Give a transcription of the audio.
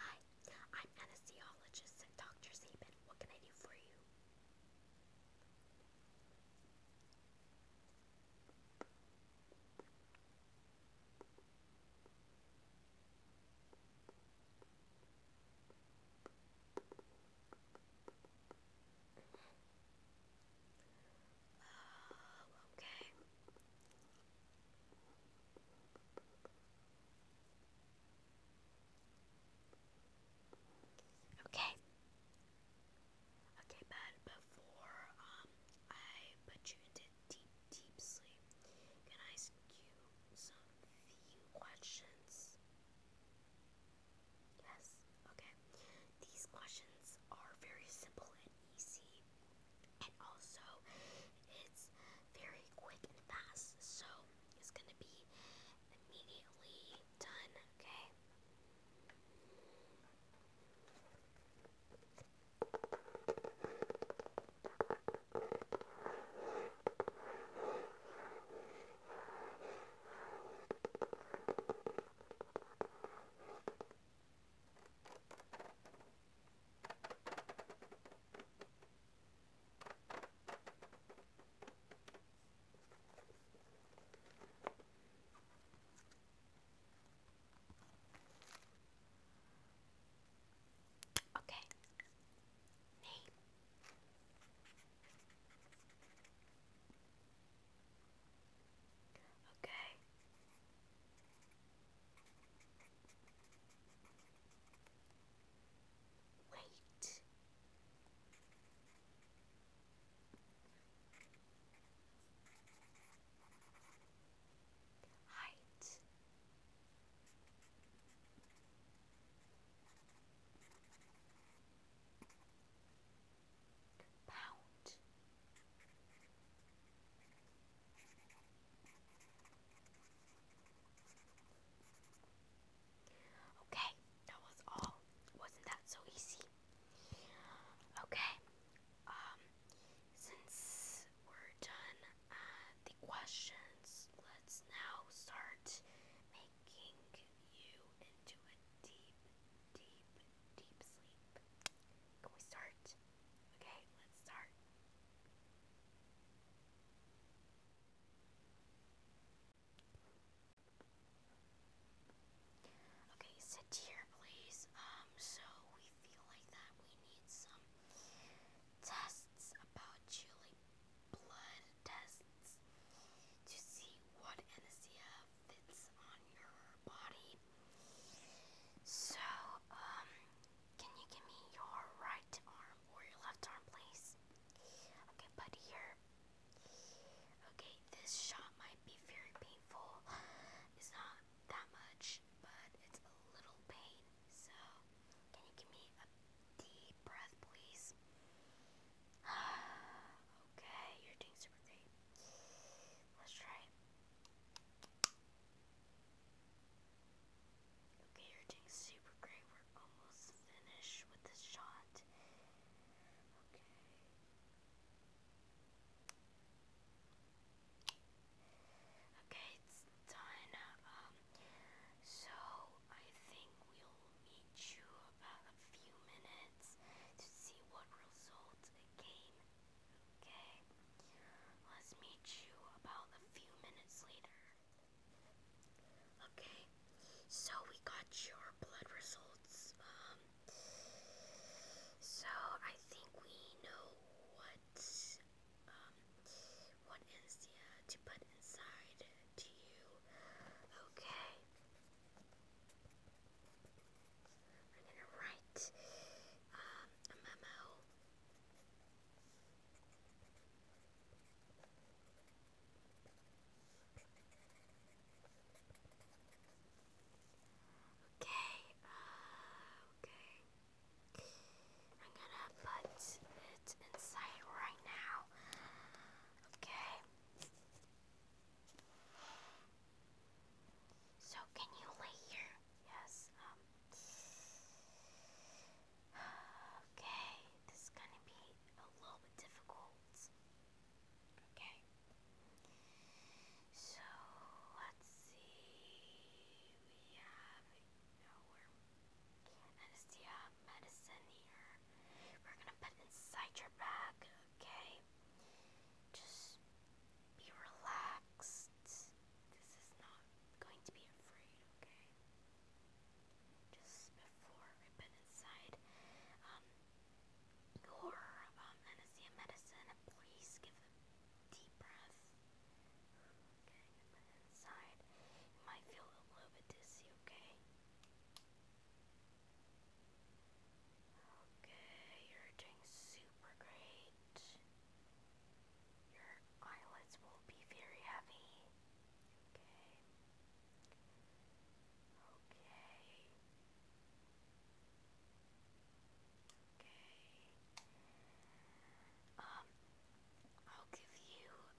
Hi, I'm anesthesiologist at Dr. Zeben. What can I do for you? Oh, okay. Okay. Okay, but before um I put you into deep, deep sleep, can I ask you some few questions? Yes. Okay. These questions are very simple and easy and also it's very quick and fast, so it's gonna be immediately done, okay? Okay. Name. Okay. Wait. Height. Pound. Okay, that was all. Wasn't that so easy? Okay, um, since we're done uh, the questions, let's now start making you into a deep, deep, deep sleep. Can we start? Okay, let's start. Okay, sit here, please. Um, so we feel like that we need some tests about you, like blood tests, to see what anesthesia stuff on your body. So, um, can you give me your right arm or your left arm, please? Okay, buddy, here. Okay, this shot might be very painful. It's not that much, but it's a little pain. So, can you give me a deep breath, please? okay, you're doing super great. Let's try Okay, you're doing super great. We're almost finished with the shot. Okay. Okay, it's done. Um, so I think we'll meet you about a few minutes to see what result the Okay. Let's meet you about a few minutes later. Okay. So we got your blood results. Um so I think we know what um what is to put inside to you. Okay. I'm gonna write a memo. Okay, okay. I'm gonna put it inside right now. Okay. So can you lay here? Yes. Um, okay, this is gonna be a little bit difficult. Okay. So let's see. We have our oh, medicine here. We're gonna put inside your bag okay? Just be relaxed. This is not going to be afraid, okay? Just before we've inside, um, your um, anesthesia medicine, please give a deep breath. Okay, inside, you might feel a little bit dizzy, okay? Okay, you're doing super great. Your eyelids will be very heavy. Okay. Okay. Okay. Um, I'll give you